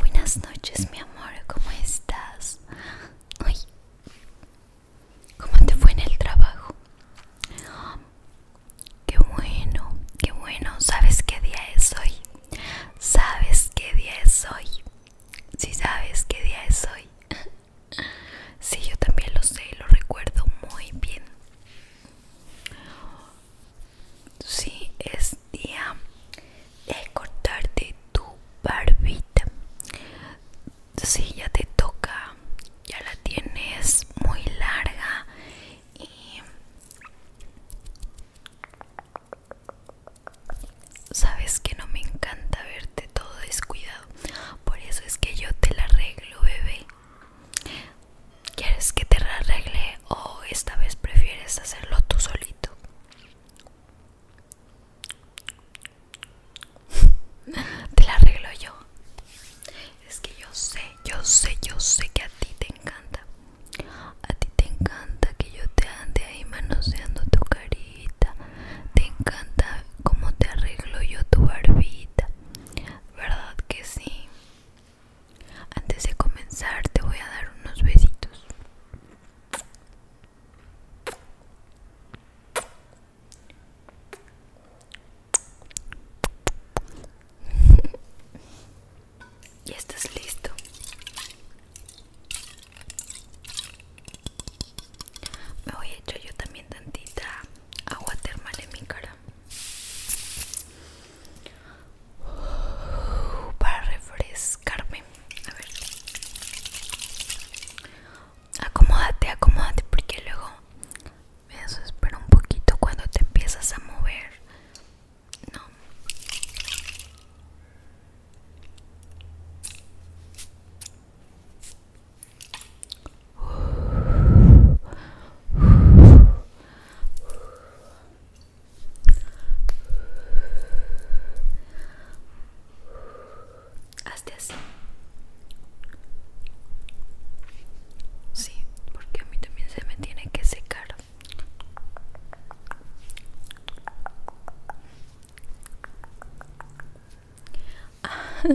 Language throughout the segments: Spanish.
Buenas noches, mi amor, ¿cómo estás? ¿Cómo te fue en el trabajo? Qué bueno, qué bueno. ¿Sabes qué día es hoy? ¿Sabes qué día es hoy? Si ¿Sí sabes qué día es hoy. Sí, yo también lo sé y lo recuerdo muy bien. Sí, es día de cortarte tu barbita. Sí, ya te toca, ya la tienes muy larga y sabes que no me encanta verte todo descuidado. Por eso es que yo te la arreglo, bebé. ¿Quieres que te arregle o esta vez prefieres hacerlo tú solito? Te la arreglo yo. Es que yo sé, yo sé, yo sé que a ti te encanta. A ti te encanta que yo te ande ahí manoseando tu carita. Te encanta cómo te arreglo yo tu barbita. ¿Verdad que sí? Antes de comenzar te voy a dar unos besitos. ya estás listo. Me voy a echar yo también tantita agua termal en mi cara para refrescarme. A ver, acomódate, acomódate, porque luego me espera un poquito cuando te empiezas a mover. No. Hazte así. Sí, porque a mí también se me tiene que secar.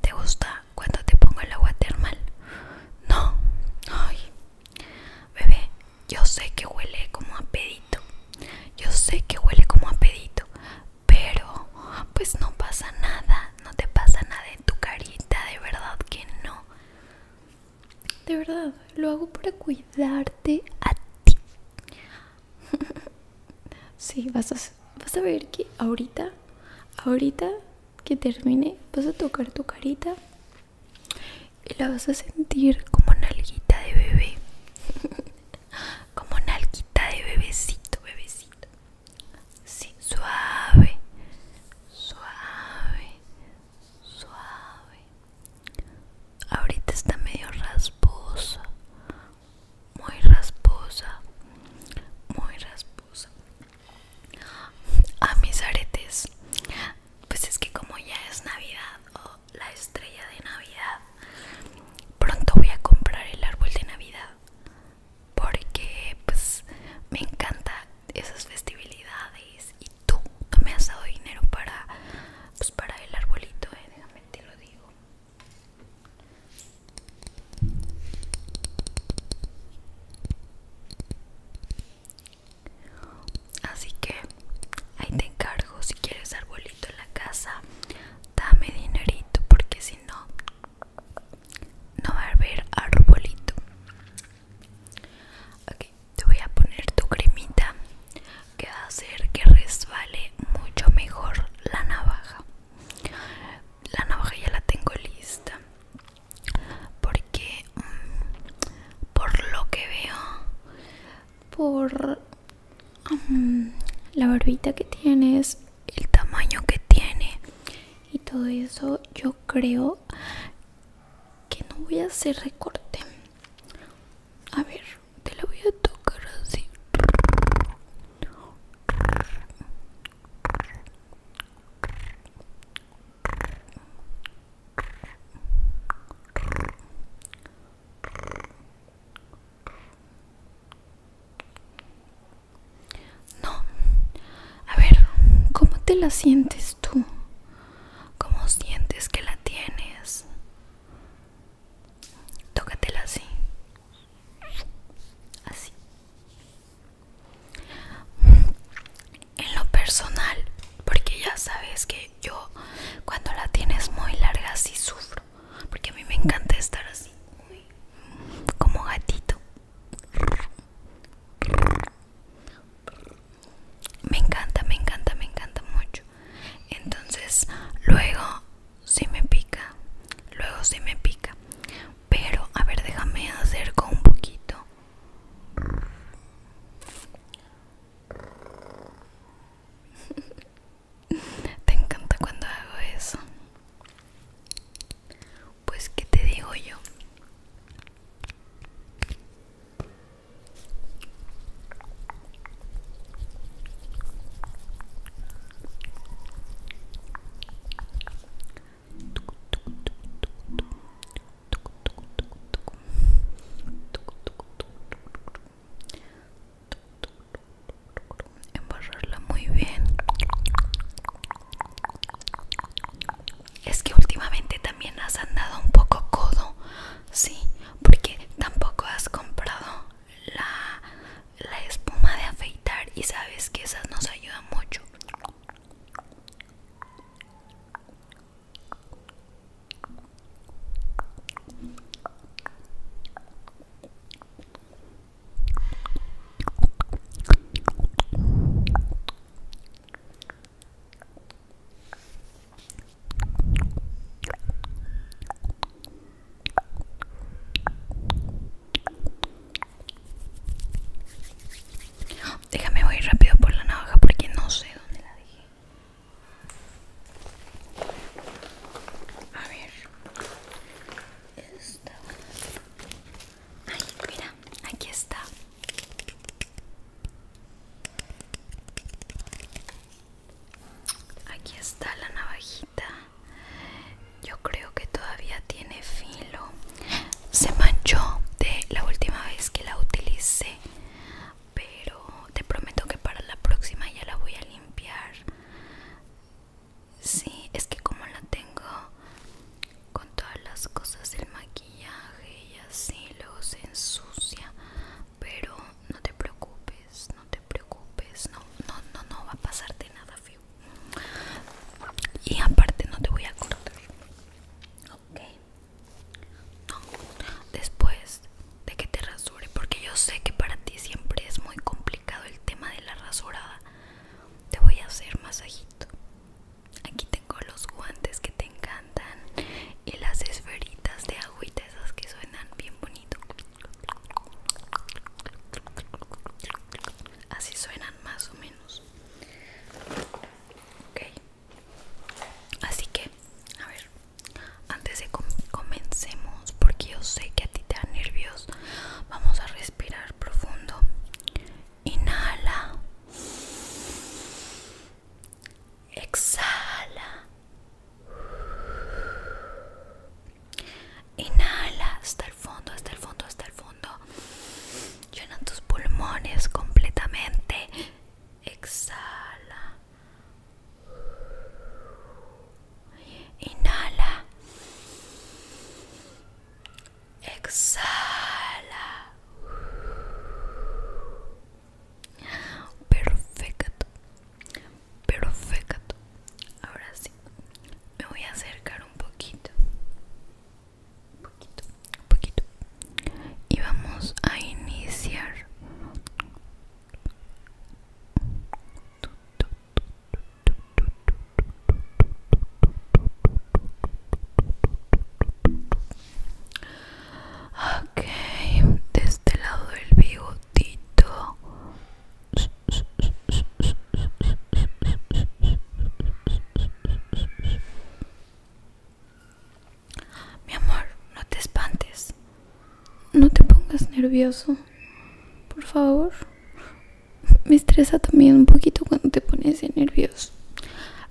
¿Te gusta cuando te pongo el agua termal? No, ay, bebé, yo sé que huele como a pedito, yo sé que huele como a pedito, pero pues no pasa nada, no te pasa nada tu carita, de verdad que no. De verdad, lo hago para cuidarte a ti. sí, vas a, vas a ver que ahorita, ahorita que termine, vas a tocar tu carita y la vas a sentir como nalguita de bebé. como nalguita de bebecito, bebecito. Sí, suave, suave, suave. Ahorita está medio rasposa, muy rasposa, muy rasposa. A ah, mis aretes, pues es que como ya es Navidad o la estrella de Navidad, pronto voy a comprar el árbol de Navidad porque pues me encanta esas festividades y tú me has dado dinero para pues, para el arbolito eh, déjame te lo digo así que ahí te encargo si quieres arbolito en la casa dame dinerito porque si no no va a haber arbolito. te voy a poner tu cremita que va a hacer que resbale mucho mejor la navaja. La navaja ya la tengo lista. Porque, mm, por lo que veo, por mm, la barbita que tienes, el tamaño que tiene y todo eso yo creo que no voy a hacer recorte a ver te lo voy a tocar así no. A ver, ¿cómo te la sientes tú? ¿Cómo sientes que la tienes? Tócatela así. Así. En lo personal, porque ya sabes que yo cuando la tienes muy larga sí sufro, porque a mí me encanta estar así, como gatito. Me encanta, me encanta, me encanta mucho. Entonces, luego si me pica. Luego si me pica. Pero, a ver, déjame acerco un poquito. Te encanta cuando hago eso pues qué te digo yo embarrarla muy bien es que últimamente también has andado un poco codo, sí, porque tampoco has comprado la, espuma de afeitar y sabes que esas nos ayudan mucho. Déjame voy rápido por la navaja porque no sé dónde la dejé. A ver, esta Ay, mira, aquí está. Aquí está la navajita. Yo creo que todavía tiene filo. Se manchó de la última vez que la utilicé. Pero te prometo que para la próxima ya la voy a limpiar. Sí, es que como la tengo con todas las cosas del maquillaje y así, luego se ensucia. Pero no te preocupes, no te preocupes, no, no, no, no va a pasarte nada Y aparte no te voy a cortar. Ok. No. Después de que te rasure, porque yo sé que para ti siempre es muy complicado el tema de la rasurada te voy a hacer masajito. Aquí tengo los guantes que te encantan y las esferitas de agüita, esas que suenan bien bonito. Así suenan más o menos. Ok. Así que, a ver, antes de comencemos, porque yo sé que a ti te da nervios, vamos a respirar profundo inhala, exhala, inhala hasta el fondo, hasta el fondo, hasta el fondo, llena tus pulmones completamente, exhala, inhala. Exhala. Perfecto. Perfecto. Ahora sí. Me voy a acercar un poquito. Un poquito, un poquito. Y vamos a iniciar. Ok, de este lado del bigotito. Mi amor, no te espantes. No te pongas nervioso, por favor me estresa también un poquito cuando te pones nervioso.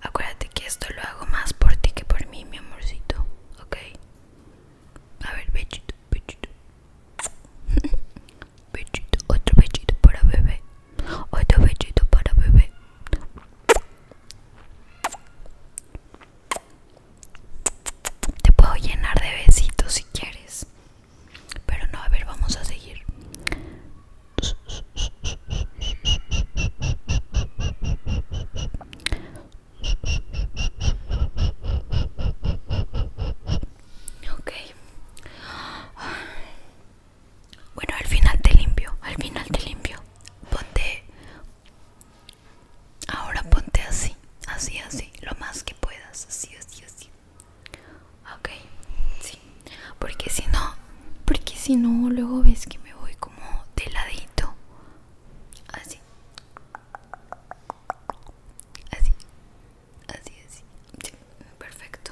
Acuérdate que esto lo hago más por ti que por mí, mi amorcito, ¿ok? A ver, bechito, bechito Bechito, otro bechito para bebé. Otro bechito para bebé. Te puedo llenar de besitos si quieres. Pero no, a ver, vamos a seguir. Ok. Bueno, al final te limpio, al final te limpio. Ponte... Ahora ponte así, así, así, lo más que puedas, así, así, así. Ok, sí. Porque si no, porque si no, luego ves que me voy como de ladito. Así. Así. Así, así. perfecto.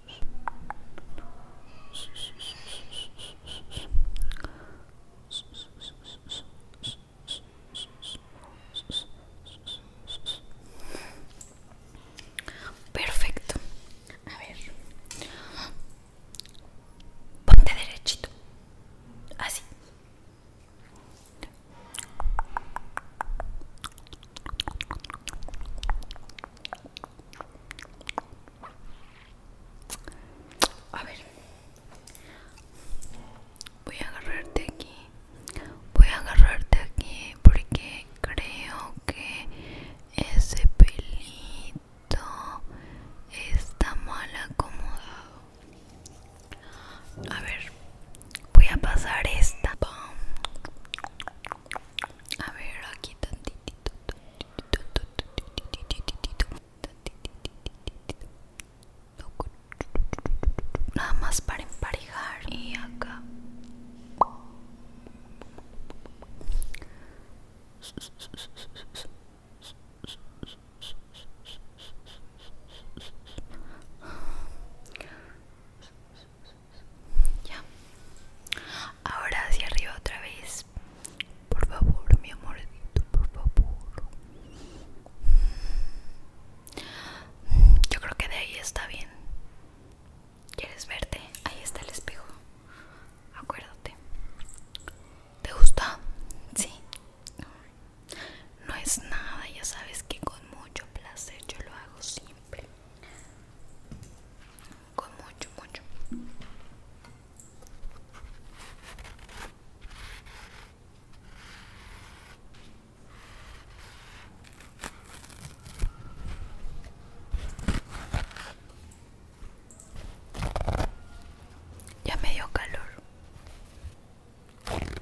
Perfecto. A ver. Ponte derechito. Así. A ver, voy a agarrarte aquí. Voy a agarrarte aquí porque creo que ese pelito está mal acomodado. A ver, voy a pasar esta. A ver, aquí tantitito. Nada más para emparejar. Y acá. Ya. Ahora hacia arriba otra vez. Por favor, mi amor, por favor. Yo creo que de ahí está bien. ¿Quieres verte? Ahí está el espejo. Acuérdate. ¿Te gusta? Sí. No es nada, ya sabes que con mucho placer yo lo hago siempre con mucho, mucho. Ya me dio calor.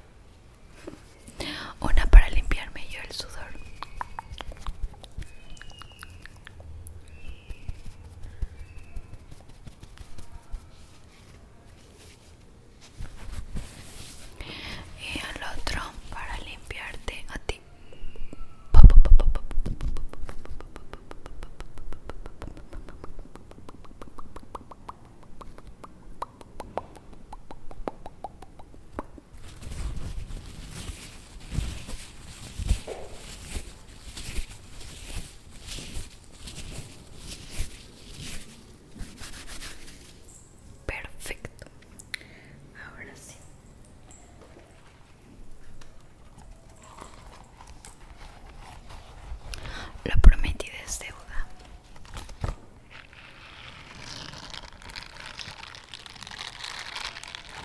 Una para limpiarme yo el sudor y al otro para limpiarte a ti Perfecto. Ahora sí. la prometí es deuda.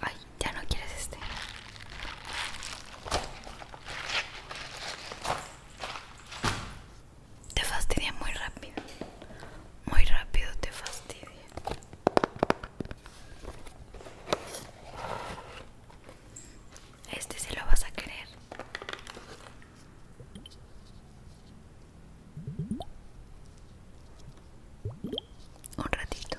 Ay, ya no quieres este. Te fastidia muy rápido. Muy rápido te fastidia. Este se lo vas a querer. Un ratito.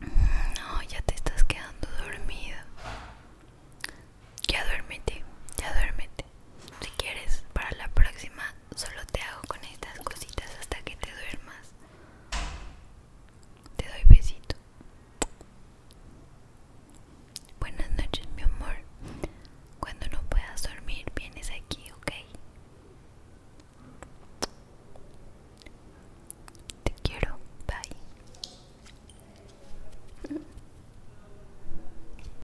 No, ya te estás quedando dormido. Ya duérmete, ya duérmete. Si quieres, para la próxima solo te hago con estas cositas hasta que te duermas. Te doy besito. Buenas noches, mi amor. Cuando no puedas dormir, vienes aquí, ¿ok? Te quiero. Bye.